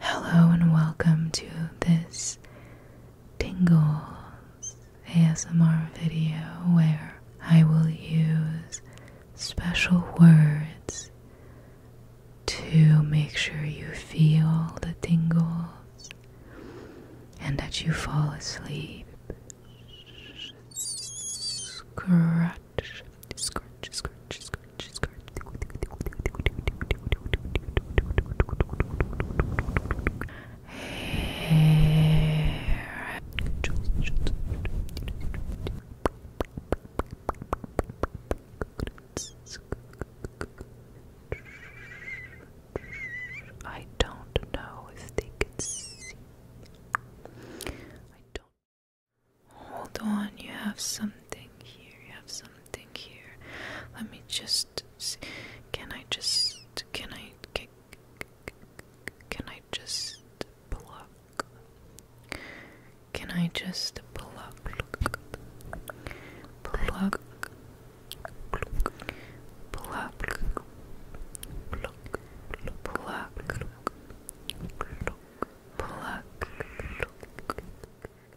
Hello and welcome to this Tingles ASMR video where I will use special words to make sure you feel the tingles and that you fall asleep. Scratch, scratch, scratch, scratch scratch, I don't know if they could see. I don't. Hold on, you have something here. You have something something here. Let me just see. Can I just. Can I. Can, can I just pluck? Can I just pluck? Pluck. Pluck. Pluck. Pluck. Pluck. Pluck. Pluck. Pluck. Pluck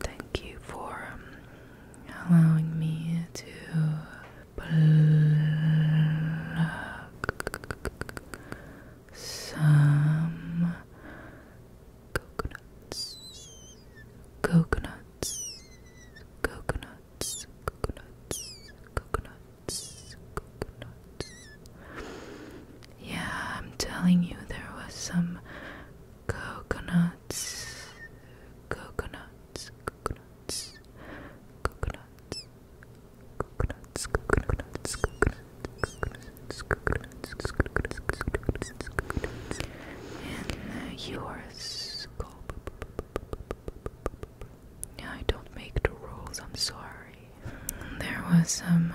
Thank you for um, allowing me to pluck some coconuts. Coconuts, coconuts, coconuts, coconuts, coconuts, yeah, I'm telling you, there was some coconuts, coconuts, coconuts, coconuts, coconuts, coconuts, coconuts, coconuts, coconuts, coconuts, and yours. I don't make the rules. I'm sorry. There was some. Uh,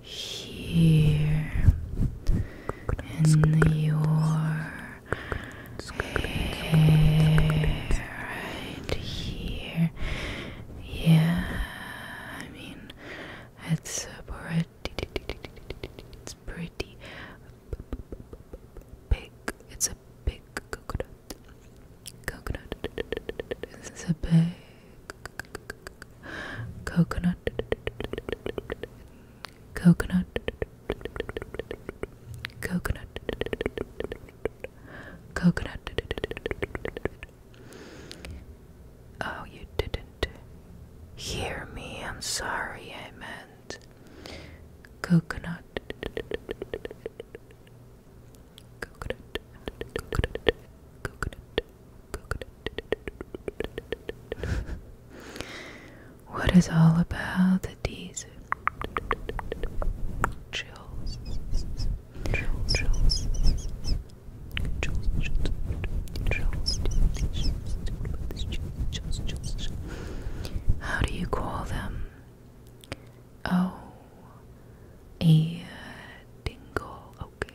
here in your hair, right here. Yeah, I mean, it's pretty. It's pretty big. It's a big coconut. Coconut. a big coconut coconut coconut coconut oh you didn't hear me i'm sorry i meant coconut coconut coconut coconut what is all about these chills? Chills, chills, chills, chills, chills. How do you call them? Oh, a uh, dingle. Okay.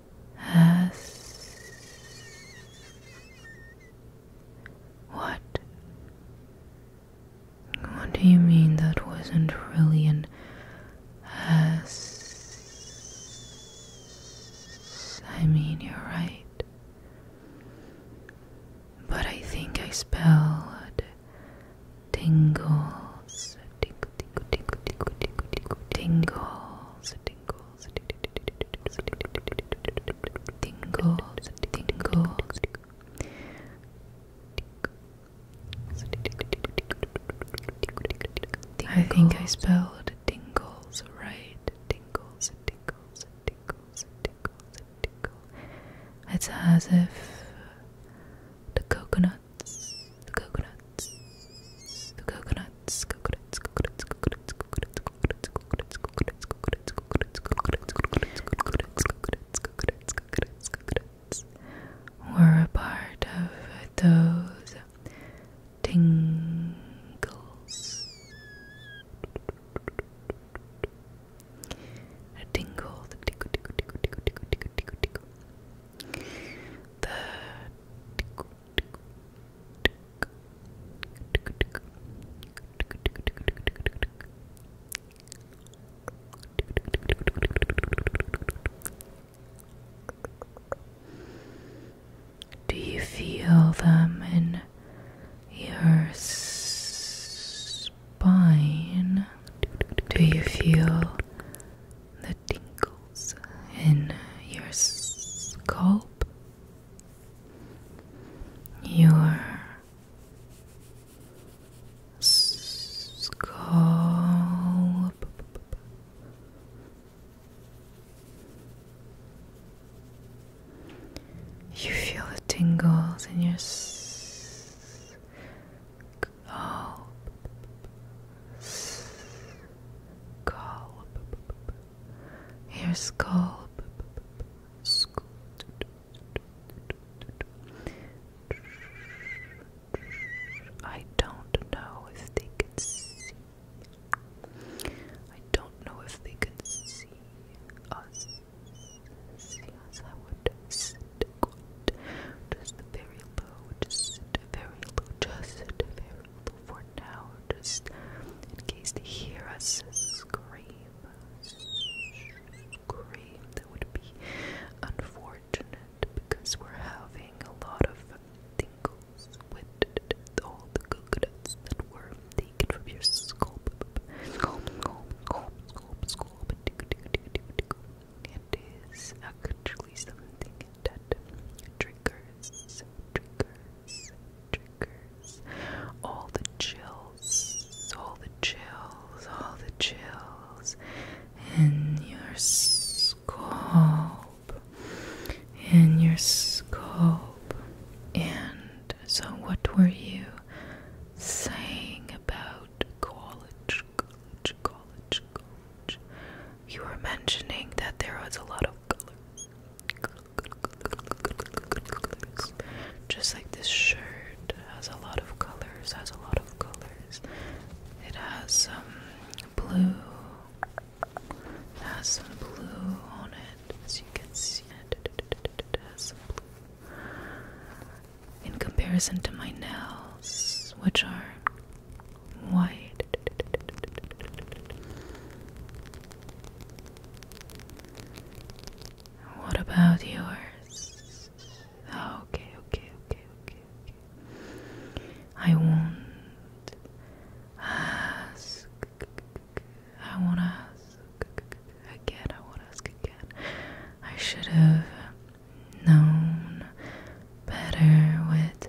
as what? What do you mean that wasn't really an I mean, you're right. But I think I spelled tingles, tingle, tingle, tingle, tingle, tingle, tingles, tingle, tingles, tingles, tingles. I think I spelled tingles right. Tingles, tingles, tingles, tingles, tingles. It's as if the coconuts, the coconuts. We're a part of those tingles. the tickle, do you feel them in your spine? Do you feel the? tingles in your scalp, your scalp. You feel the tingles in your scalp, scalp, Skull. Your skull. Scoot. I don't know if they can see. I don't know if they can see us. See us. I would sit quiet. Just very low. Just very low. Just very for now, just in case they hear us scream, scream, that would be unfortunate because we're having a lot of tingles with all the coconuts that were taken from your scalp, scalp, scalp, scalp, scalp, scalp. It is actually something that triggers, triggers, triggers all the chills, all the chills, all the chills in your scalp, in your scalp. And so, what were you saying about college? College, college, college. You were mentioning that there was a lot of just like this shirt has a lot of colors, has a lot of colors. It has some blue, it has some blue on it, as you can see. It has some blue. In comparison to my nails, which are white. What about yours? okay, okay, okay, okay. I won't ask. I won't ask again. I won't ask again. I should have known better with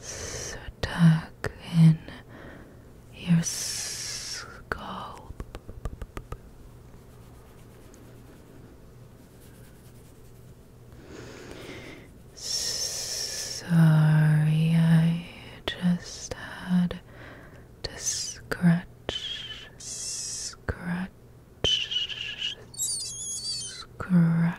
stuck in your skull. Sorry, I just had to scratch, scratch, scratch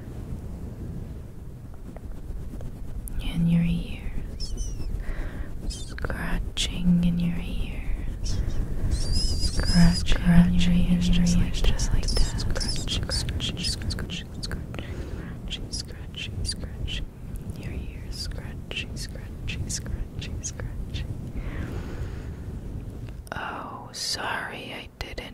in your ears, scratching in your ears, scratch, scratch your ears, just like, just like that. Scratch, scratch, scratch, scratch, scratch, scratch your ears, scratching, scratching, scratching, scratching. Oh, sorry, I didn't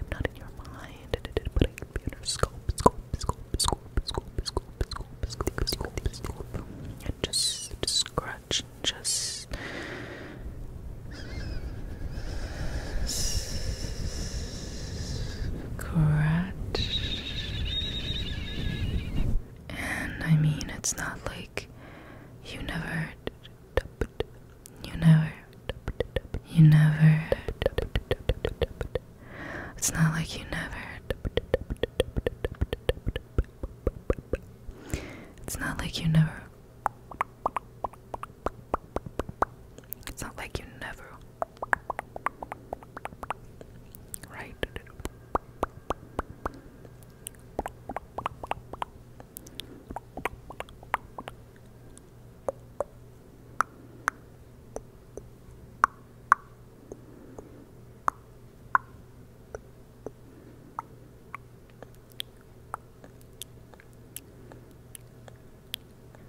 I'm not in your mind, but I can in her scope, scope, scope, scope, scope, scope, scope, scope, scope, scope. And just, scratch just scratch. And I mean, it's not like you never you never. You never. It's not like you never. It's not like you never. It's not like you never. Right.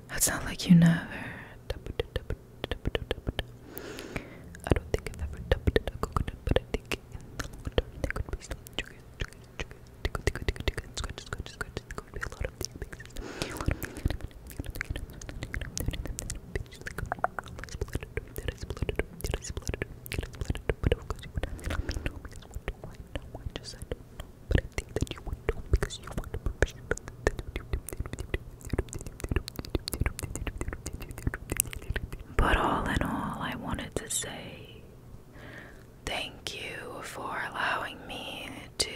That's not like you never. I don't think I've ever dumped a but I think in going you But all in all, I wanted to say Thank you for allowing me to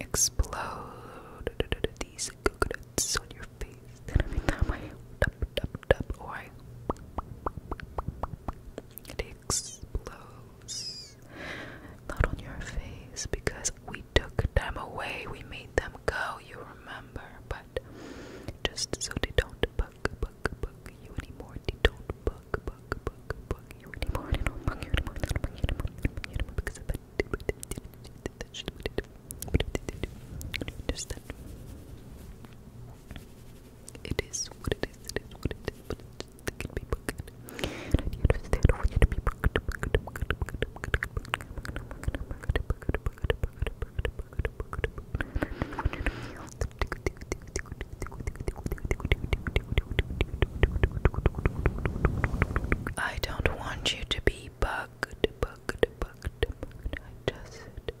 Explode these coconuts on your vocês terem me tamanho ou I it explodes not on your face because we took them away, we made them go, you remember, but just so they don't bug bug bug you anymore. They don't bug bug bug bug you anymore. They don't bug you anymore. They don't bug you anymore. They don't bug you anymore because of that. It is what it is, it is what it is, I I don't want you to be bugged, bugged, bugged, bugged. I just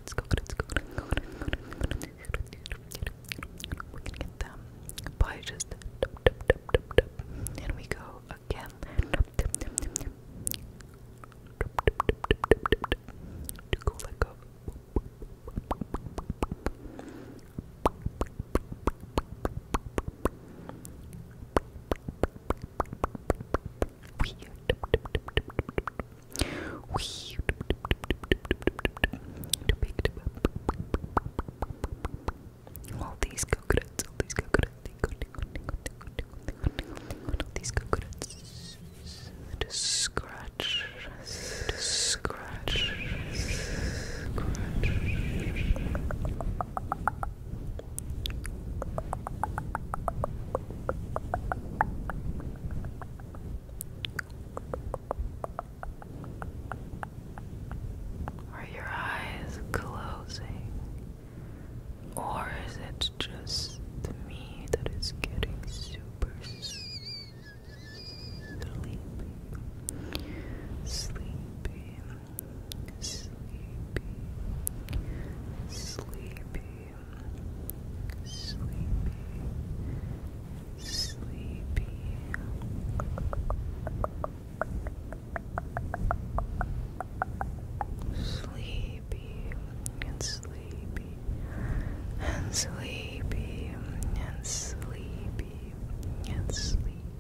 coconuts, coconuts, coconuts, coconuts, coconuts, coconuts. We can get them by just dup, dup, dup, dup, dup. and we go again. Dup, dup, dup, dup, dup. Dup, dup, dup, dup, dup, dup, dup. To go let go. Dup, all these coconuts, all these coconuts, all these coconuts. Just scratch, just scratch, scratch. Are your eyes closing? Or is it just me that is getting super sleepy? Sleepy, sleepy, sleepy, sleepy, sleepy. Sleepy and sleepy and sleepy and sleepy and sleepy.